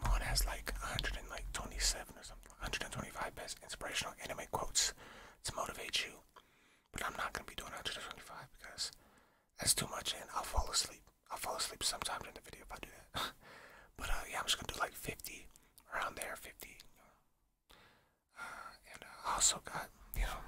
Amon has like 127 or something, 125 best inspirational anime quotes to motivate you. But I'm not gonna be doing 125 because that's too much, and I'll fall asleep. I'll fall asleep sometime during the video if I do that. but uh, yeah, I'm just gonna do like 50 around there, 50. Uh, and I also got you know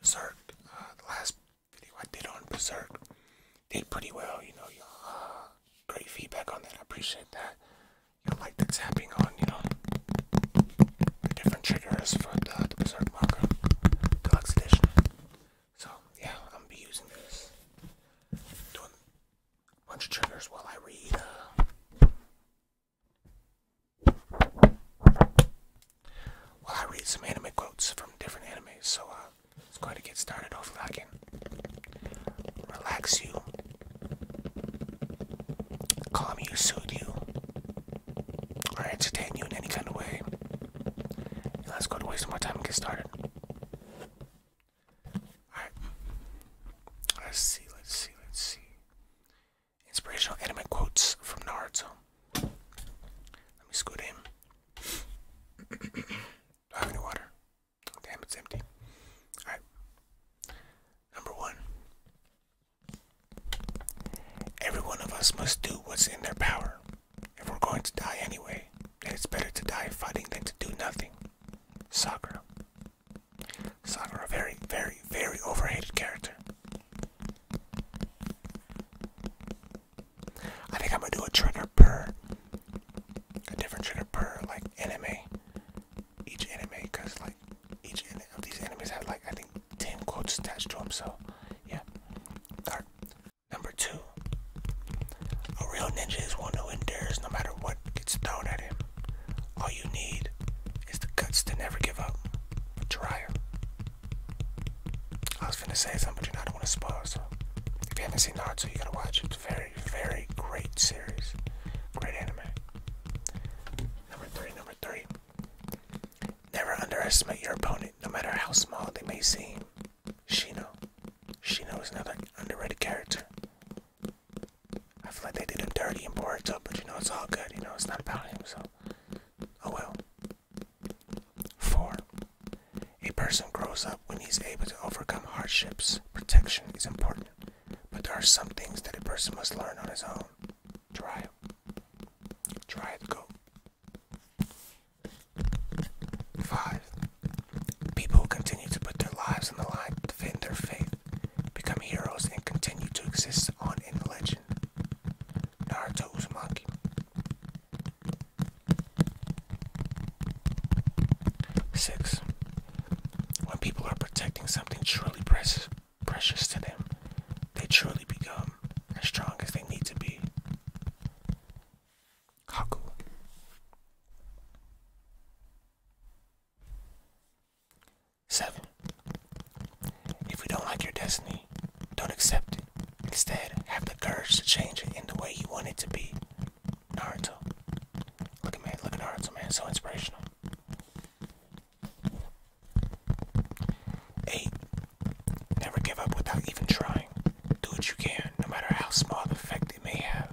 Berserk, uh, the last video I did on Berserk. Did pretty well, you know. Uh, great feedback on that. I appreciate that. I like the tapping on, you know, the different triggers for the, the Berserk marker deluxe edition. So yeah, I'm be using this. Doing a bunch of triggers while I read. Uh, I read some anime quotes from different animes, so uh, Let's go to get started. Hopefully, I can relax you, calm you, soothe you, or entertain you in any kind of way. let's go to waste more time and get started. Alright. Let's see, let's see, let's see. Inspirational anime quotes from Naruto. Let me scoot in. Do I have any water? damn, it's empty. Alright. Number one. Every one of us must do what's in their power. If we're going to die anyway, it's better to die fighting than to do nothing. Sakura. Sakura, very, very, very overrated character. I think I'm gonna do a trigger per a different trigger per like anime. Each anime, cause like each of these animes had like I think ten quotes attached to them. So yeah. Number two. A real ninja is one who endures no matter what gets thrown at him. All you need is the guts to never give up. Jiraiya. I was finna say something, but you know, I don't want to spoil. So, if you haven't seen Naruto, you gotta watch It's a very, very great series, great anime. Number three, number three. Never underestimate your opponent, no matter how small they may seem. Shino, Shino is another underrated character. I feel like they did him dirty and it up, but you know, it's all good. You know, it's not about him. So, oh well. 4. A person grows up when he is able to overcome hardships. Protection is important, but there are some things that a person must learn on his own. Try. Try to go. 5. People who continue to put their lives on the line to defend their faith become heroes and continue to exist on in the legend. Naruto Uzumaki. Six. When people are protecting something truly precious, precious to them, they truly become as strong as they need to be. Haku. Seven. If you don't like your destiny, don't accept it. Instead, have the courage to change it in the way you want it to be. Naruto. Look at man, look at Naruto man, so inspirational. Eight. Never give up without even trying. Do what you can, no matter how small the effect it may have.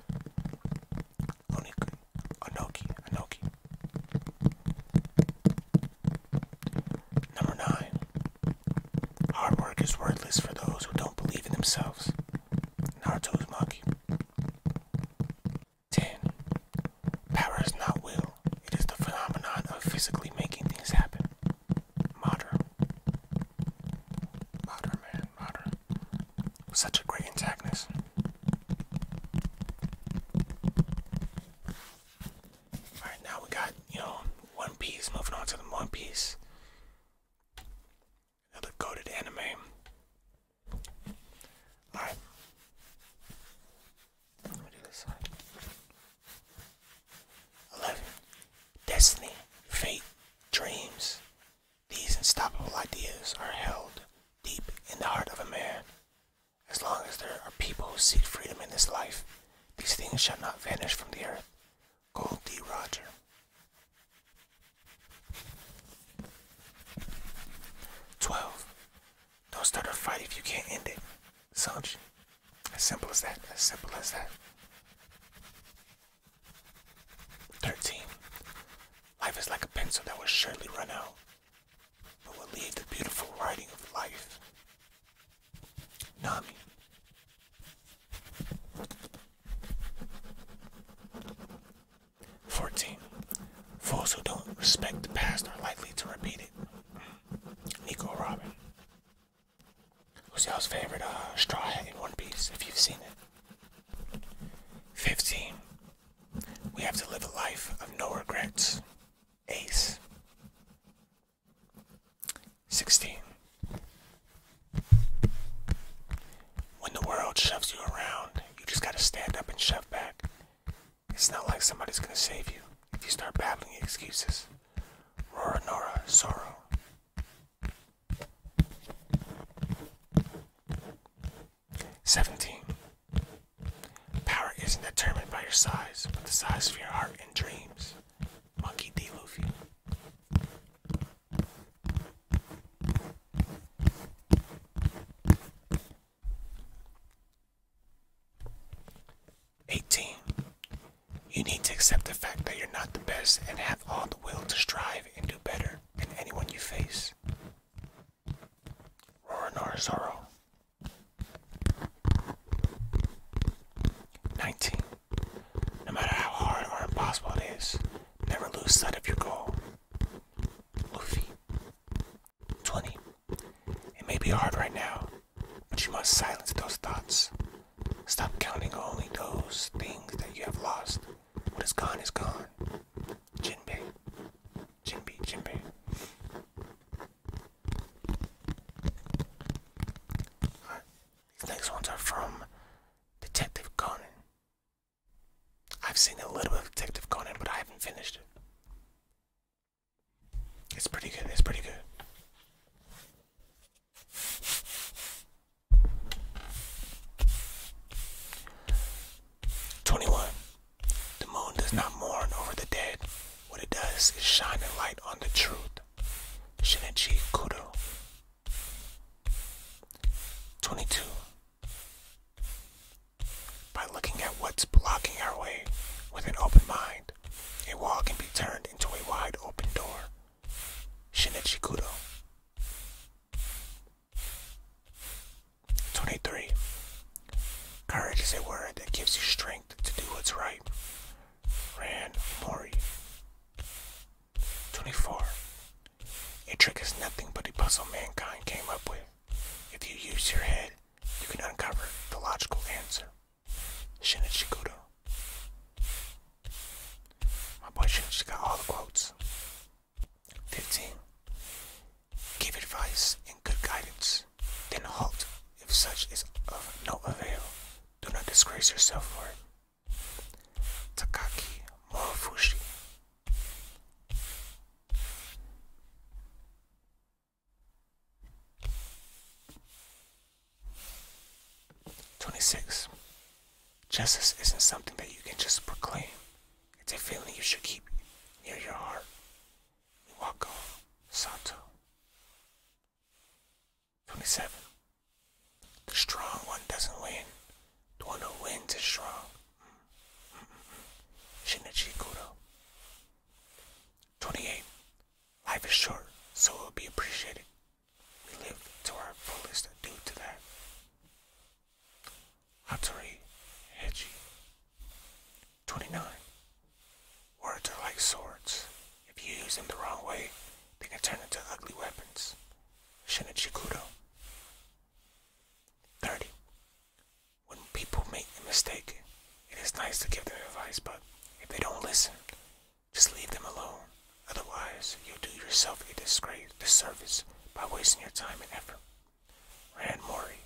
Oniku. Anoki. Anoki. Number nine. Hard work is worthless for those who don't believe in themselves. Naruto's monkey. 10. Power is not will, it is the phenomenon of physically making things happen. Modern. Modern, man, modern. Such a great antagonist. Alright, now we got, you know, One Piece, moving on to the One Piece. Another goaded anime. Alright. Let me do this side. 11. Destiny, fate, dreams. These unstoppable ideas are held deep in the heart of a man. As long as there are people who seek freedom in this life, these things shall not vanish from the earth. Gold D. Roger. Twelve. Don't start a fight if you can't end it. Sanji. As simple as that. As simple as that. Thirteen. Life is like a pencil that will surely run out but will lead the beautiful writing of life. Nami. Fourteen. Fools who don't respect the past are likely to repeat it. Nico Robin. Who's y'all's favorite uh, straw hat in One Piece, if you've seen it? Fifteen. We have to live a life of no regrets. Ace. 16. When the world shoves you around, you just gotta stand up and shove back. It's not like somebody's gonna save you if you start babbling excuses. Rora Nora Sorrow. Seventeen. Power isn't determined by your size, but the size of your heart and dreams. Monkey D. Luffy. Eighteen. You need to accept the fact that you're not the best and have all the will to strive and do better than anyone you face. Roronoa Zoro. 19. No matter how hard or impossible it is, never lose sight of your goal. Luffy. 20. It may be hard right now, but you must silence those thoughts. Stop counting only those things that you have lost. What is gone is gone. Jinbei. Jinbei, Jinbei these next ones are from Detective Conan. I've seen a little bit of Detective Conan, but I haven't finished it. It's pretty good, it's pretty good. Twenty one the moon does not mourn over the dead. What it does is shine a light on the truth. Shinichi Kudo. 22. By looking at what's blocking our way with an open mind, a wall can be turned into a wide open door. Shinichi Kudo. 23. Courage is a word that gives you strength to do what's right. Rand Mori. 24. A trick is nothing but a puzzle mankind came up with. If you use your head, you can uncover the logical answer. Shinichi Kudo. My boy Shinichi got all the quotes. 15 give advice and good guidance, then halt if such is of no avail. Do not disgrace yourself for it. Takaki Morofushi. Twenty-six. Justice isn't something that you can just proclaim. It's a feeling you should keep near your heart. Wako Sato. 27. The strong one doesn't win. The one who wins is strong. Mm-hmm. Shinichi Kudo. 28. Life is short, so it will be appreciated. We live to our fullest due to that. Hattori Heji. 29. Words are like swords. If you use them the wrong way, they can turn into ugly weapons. Shinichi 30. When people make a mistake, it is nice to give them advice, but if they don't listen, just leave them alone. Otherwise, you'll do yourself a disgrace, disservice by wasting your time and effort. Rand Mori.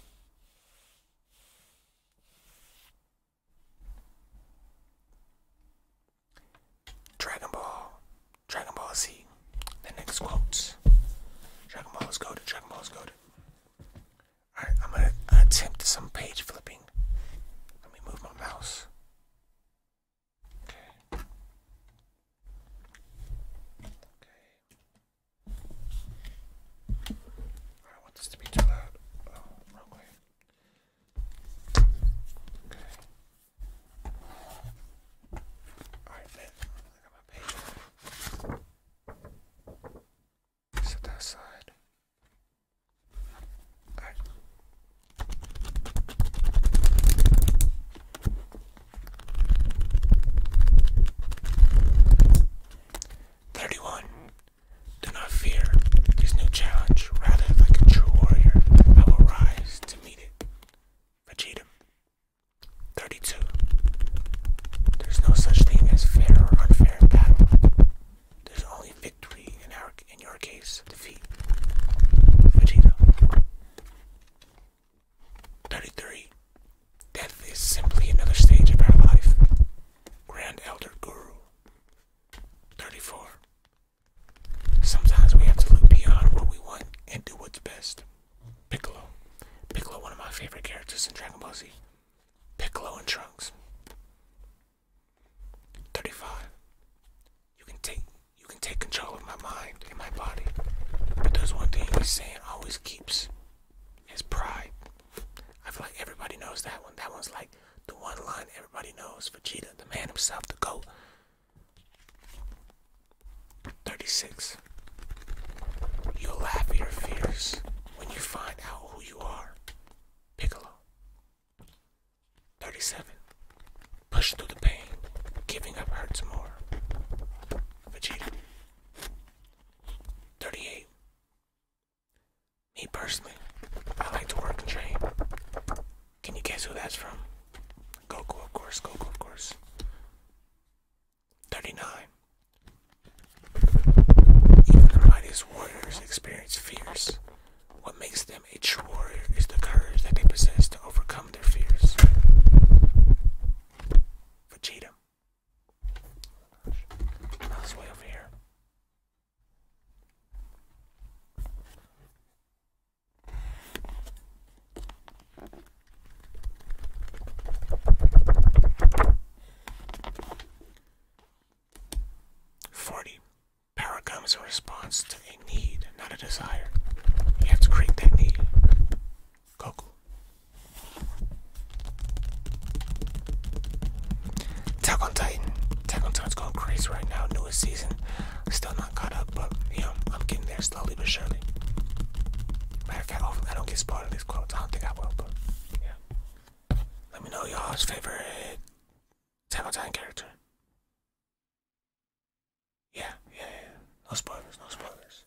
Dragon Ball, Dragon Ball Z. The next quotes. Dragon Ball is good. Dragon Ball is good. Alright, I'm gonna attempt some page flipping. Let me move my mouse. Okay. Okay. I don't want this to be too loud. Oh, wrong way. Okay. Alright, then. I got my paper. Set that aside. Alright. 31. Do not fear this new challenge. Rather, like a true warrior, I will rise to meet it. Vegeta. 32. There's no such thing as fair or unfair battle. There's only victory in our in your case, defeat. Vegeta. 33. Death is simply another stage of our life. Grand Elder Guru. 34. Sometimes we have to look beyond what we want and do what's best. Piccolo. Piccolo, one of my favorite characters in Dragon Ball Z. Piccolo and Trunks. 35. You can take you can take control of my mind and my body. But there's one thing he's saying always keeps is pride. I feel like everybody knows that one. That one's like the one line everybody knows. Vegeta, the man himself, the GOAT. 36. You'll laugh at your fears when you find out who you are. Piccolo. 37. Push through the pain. Giving up hurts more. Vegeta. 38. Me personally, I like to work and train. Can you guess who that's from? Goku, of course, Goku, of course. 39. Even the mightiest warriors experience fears. What makes them a true warrior is the courage that they possess to overcome their fears. Vegeta. Forty. Power comes in response to a need, not a desire. You have to create that need. Goku. Attack on Titan. Attack on Titan's going crazy right now. Newest season. Still not caught up, but you know, I'm getting there slowly but surely. Matter of fact, hopefully I don't get spoiled in these quotes. I don't think I will, but yeah. Let me know y'all's favorite Attack on Titan character. Yeah, yeah, yeah. No spoilers, no spoilers.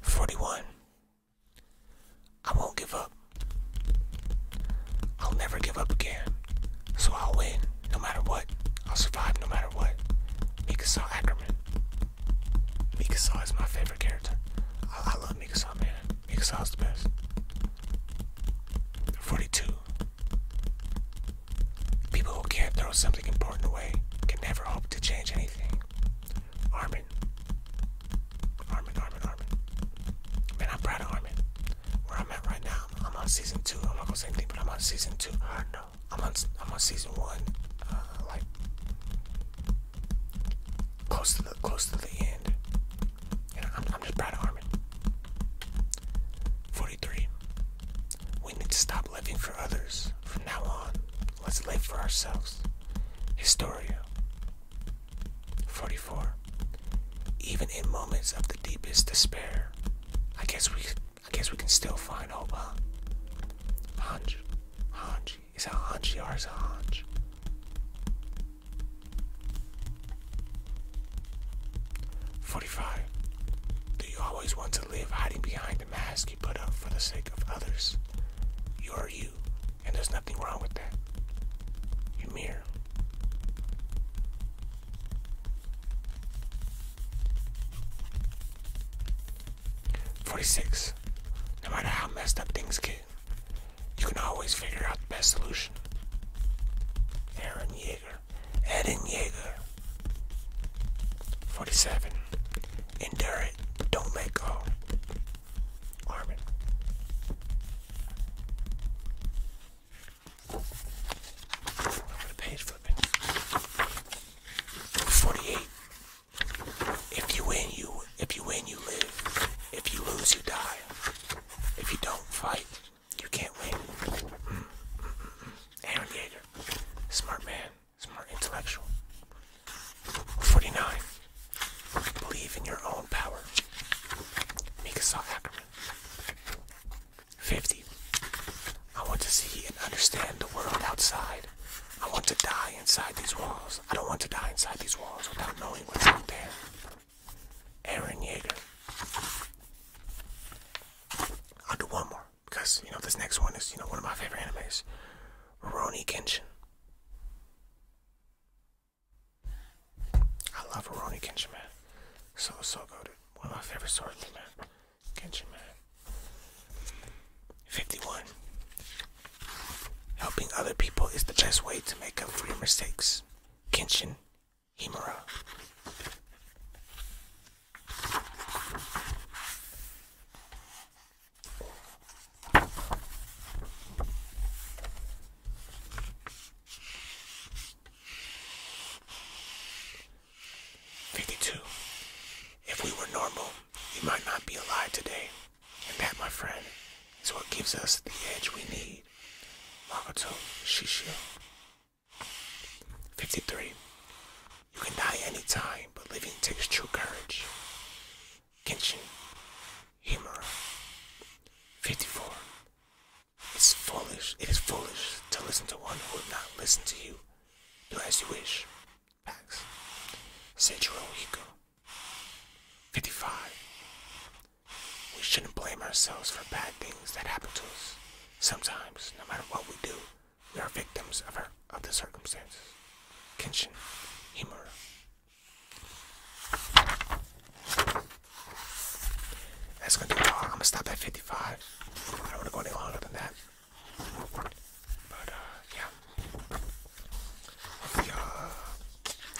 Forty-one. I won't give up. I'll never give up again. So I'll win, no matter what. I'll survive, no matter what. Mika Mikasaw Ackerman. Mikasaw is my favorite character. I, I love Mikasaw, man. Exhaust pass. 42. People who can't throw something important away can never hope to change anything. Armin. Armin, Armin, Armin. Man, I'm proud of Armin. Where I'm at right now, I'm on season two. I'm not gonna say anything, but I'm on season two. no, I'm on, I'm on season one. Uh, like close to the close to the end. I'm, just proud of Armin. 43. We need to stop living for others. From now on, let's live for ourselves. Historia. 44. Even in moments of the deepest despair, I guess we I guess we can still find hope, huh? Hanji. Is that Hanji or is it Hanj? 45. Do you always want to live hiding behind the mask you put up for the sake of others? You are you, and there's nothing wrong with that. You mirror. 46. No matter how messed up things get, you can always figure out the best solution. Aaron Yeager. Eden Yeager. 47. Endure it. Don't let go. Armin. page flipping. 48. If you win, you if you win, you live. If you lose, you die. If you don't fight, you can't win. Mm, mm, mm, Aaron Yeager, smart man, smart intellectual. 49. Believe in your own power. Mikasa Ackerman. 50. I want to see and understand the world outside. I want to die inside these walls. I don't want to die inside these walls without knowing what's out there. Aaron Yeager. I'll do one more because you know this next one is you know one of my favorite animes, Rurouni Kenshin. I love Rurouni Kenshin, man. So so good. One of my favorite stories, man. Kenshin, man. Fifty-one. Helping other people is the best way to make up for your mistakes. Kenshin Himura. Fifty two. If we were normal, we might not be alive today. And that, my friend, is what gives us the edge we need. Makoto Shishio. 53. You can die any time, but living takes true courage. Kenshin Himura. 54. It's foolish, it is foolish to listen to one who would not listen to you. Do as you wish. Facts. Seichiro Hiko. 55. We shouldn't blame ourselves for bad things that happen to us. Sometimes, no matter what we do, we are victims of, the circumstances. Kenshin Himura. That's gonna do all. I'm gonna stop at 55. I don't wanna go any longer than that. But, uh, yeah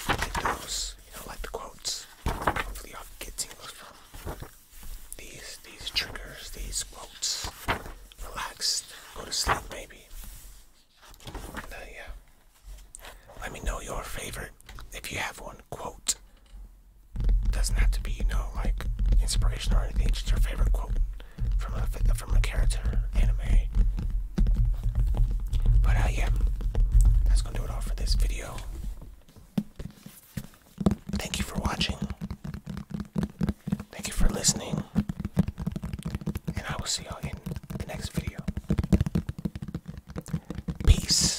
like those, you know, like the quotes. Hopefully y'all get tingles from these these triggers, these quotes. Relax, go to sleep, baby. Uh, yeah. Let me know your favorite if you have one quote. Doesn't have to be, you know, like inspiration or anything. Just your favorite quote from a from a character, anime, but uh, yeah, that's gonna do it all for this video. Thank you for watching. Thank you for listening. And I will see y'all in the next video. Peace.